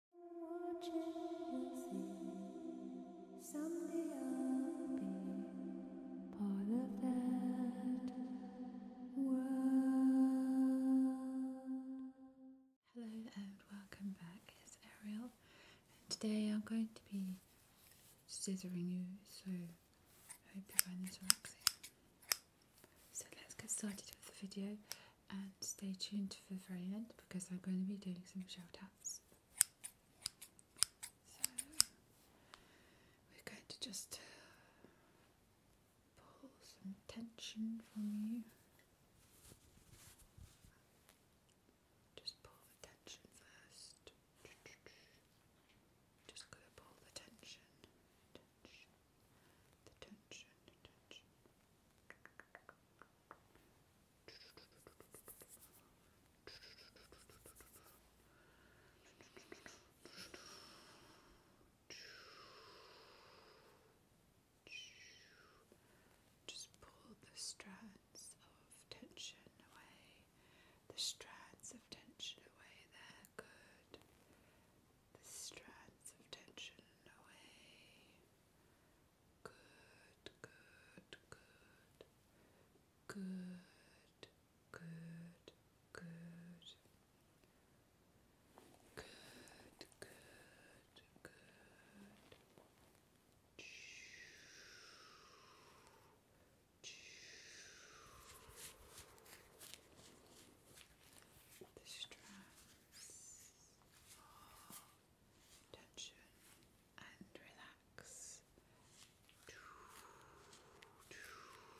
Hello and welcome back, it's Ariel and today I'm going to be scissoring you so hope you find this relaxing. So let's get started with the video and stay tuned to the very end because I'm going to be doing some shout outs. So we're going to just uh, pull some tension from you. Just pull the tension first. Just gonna pull the tension, the tension. Just pull the strands of tension away. The strands of tension away there, good. The strands of tension away. Good, good, good. Good, good, good. Good, good, good. The straps tension and relax. Relax. Relax.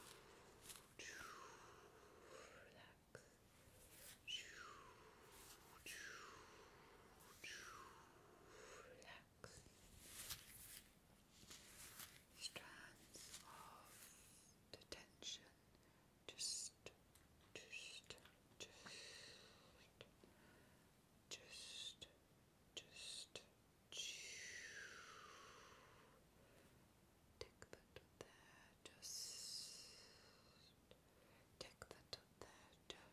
Strands of the tension just, just, just, just, just, take that to there, just, take that to there,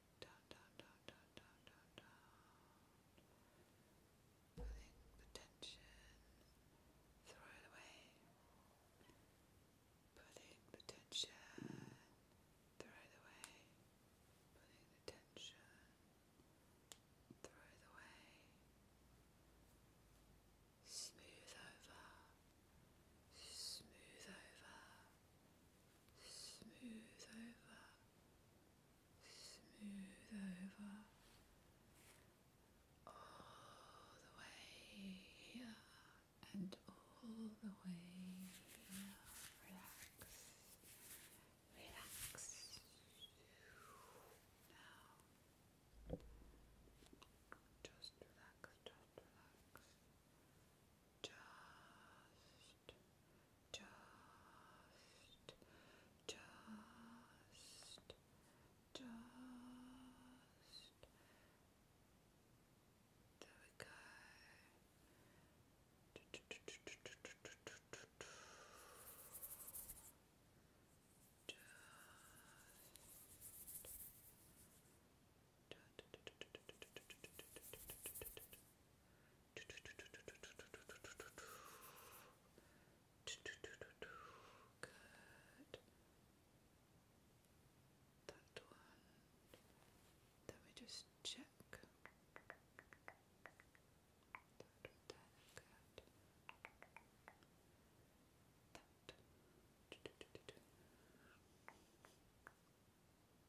down, down, down, down, down, down, down. Pulling the tension, throw it away. Pulling the tension, throw it away. Pulling the tension, throw it away. Smooth over, smooth over, smooth over, smooth over, all the way here and all the way here. Relax, relax. Now, just relax, just relax. Just relax just, just, just. There we go. Just, Good. That one. Then we just check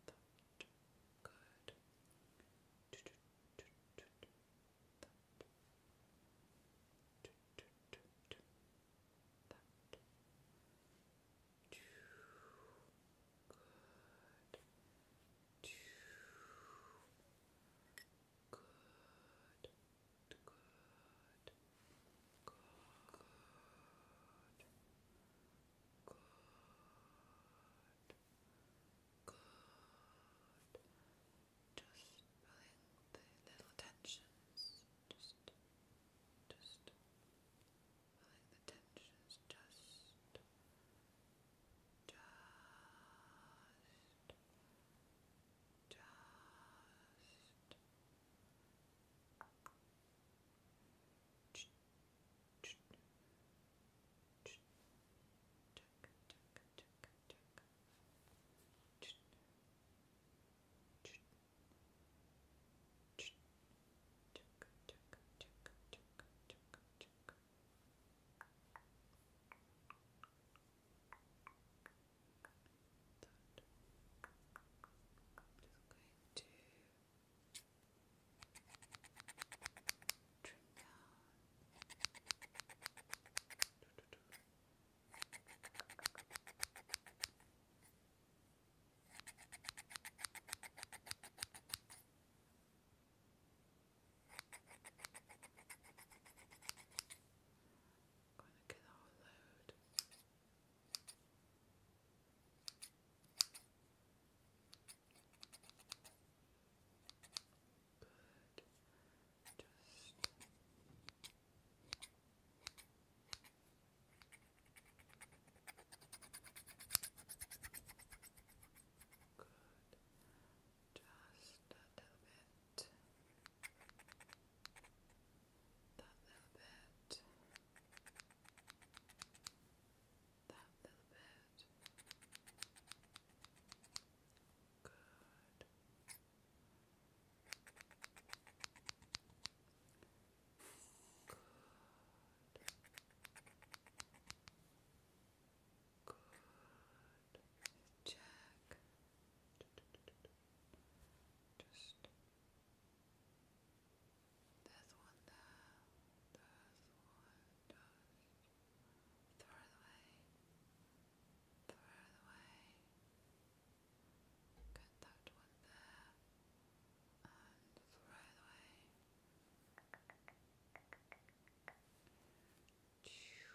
that good. Good. Good. Good. Good. Good. Good. Good. Just feeling the little tensions. Just, just feeling the tensions. Just, just, just. Just going to Going to get a whole load. Good. Just a little bit. That little bit that little bit. Good. Good. Good. Check. Just there's one there. There's one. Throw it away. Throw it away. Get that one there. And throw it away. Choo,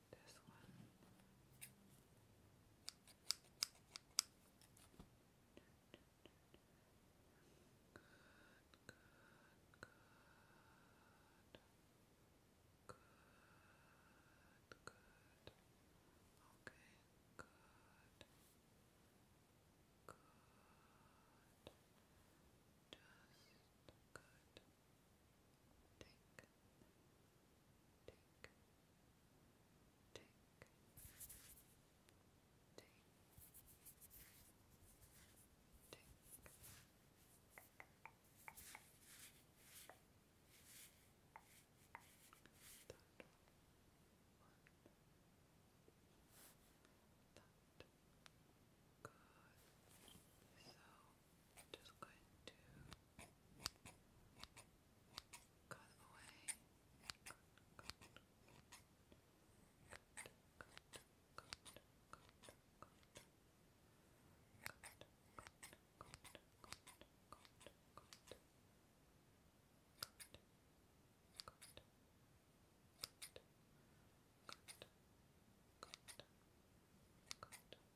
This one. Good, good, good. Good, good. Okay, good. Good. Just good tick, tick, tick, tick, tick. Dot one. Dot. Good. So I'm just going to cut away.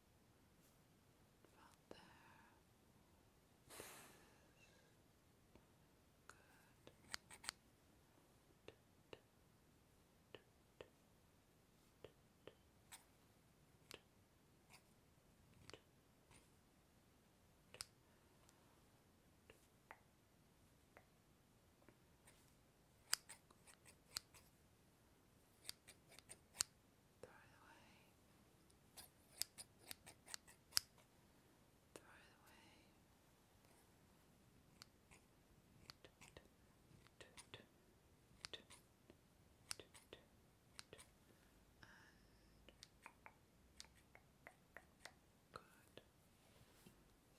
about there. Good. Good. Throw it away. Throw it away. good.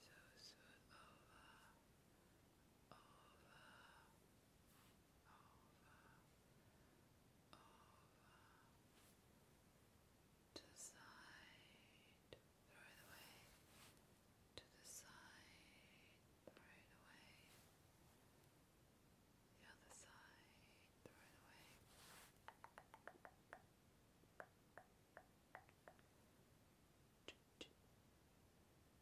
So smooth over, over, over, over, to the side, throw it away, to the side, throw it away, the other side, throw it away.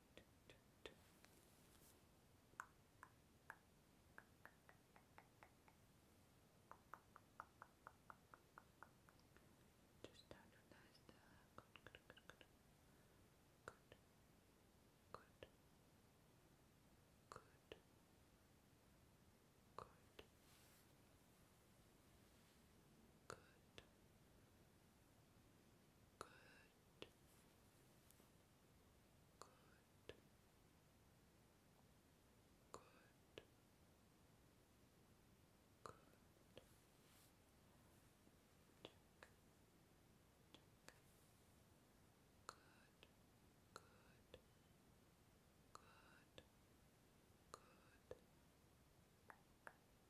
Just start with nice good, good, good, good, good, good, good, good, good, good good, good, good. Check. Check. Good, good, good, good,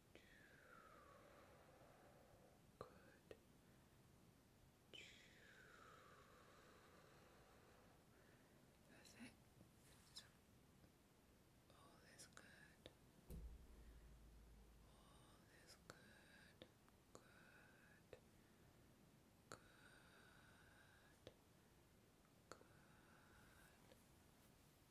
Good. Perfect. all is good. All is good. Good. Good. Good.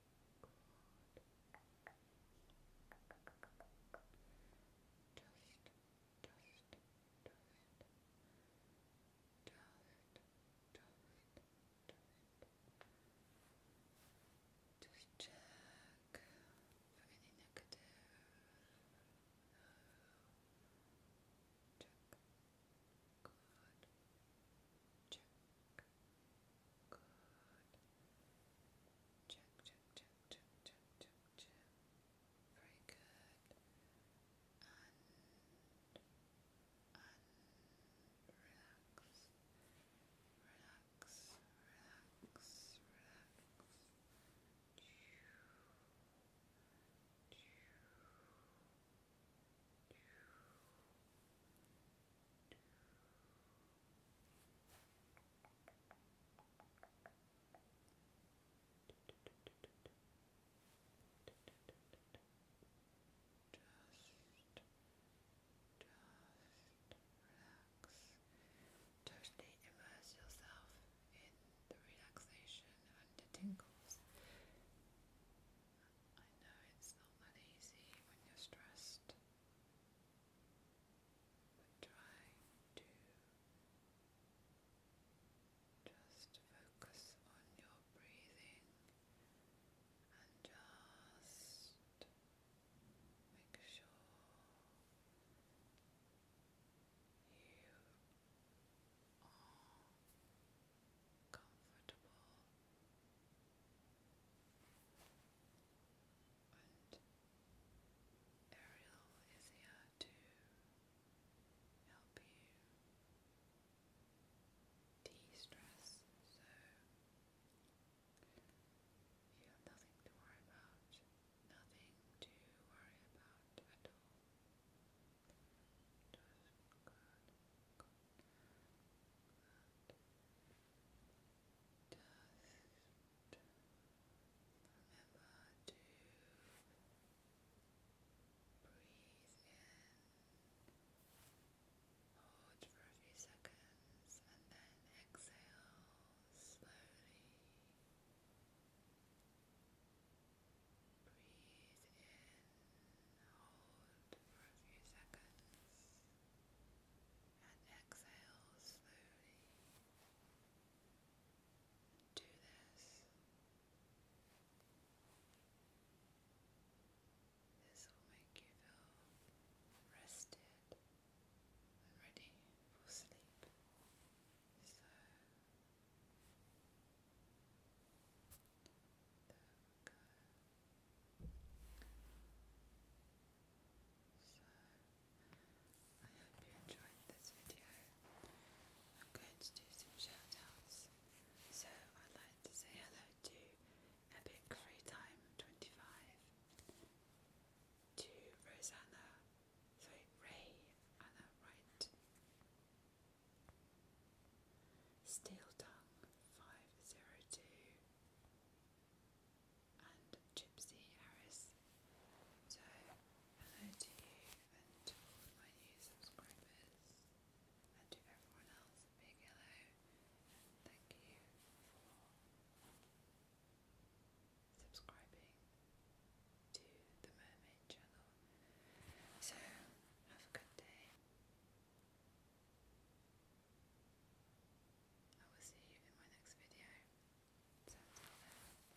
Just, just, just, just, just, just, just check for any negative. Check. Good. Check. Good. Check, check, check, check, check, check, Very good. And, and relax. Relax, relax, relax. Choo. Choo. Totally immerse yourself in the relaxation and the tingles. I know it's not that easy when you're stressed, try to just focus on your breathing and just make sure you are comfortable Ariel is here to help you de-stress so you have nothing to worry about, nothing to worry about at all. Just good, good, hold for a few seconds, and then exhale slowly. Breathe in. Hold for a few seconds and exhale slowly. Do this. This will make you feel rested and ready for sleep. So so, I hope you enjoyed this video. I'm going to do some shout So, I'd like to say hello to Epic Free Time 25, to Rosanna, sorry, Ray, Anna Wright, Steel Tongue 502 and Gypsy Harris. So, hello to you and to my new subscribers and to everyone else. big hello and thank you for subscribing to the Mermaid Channel. So, have a good day. I will see you in my next video. So until then, bye.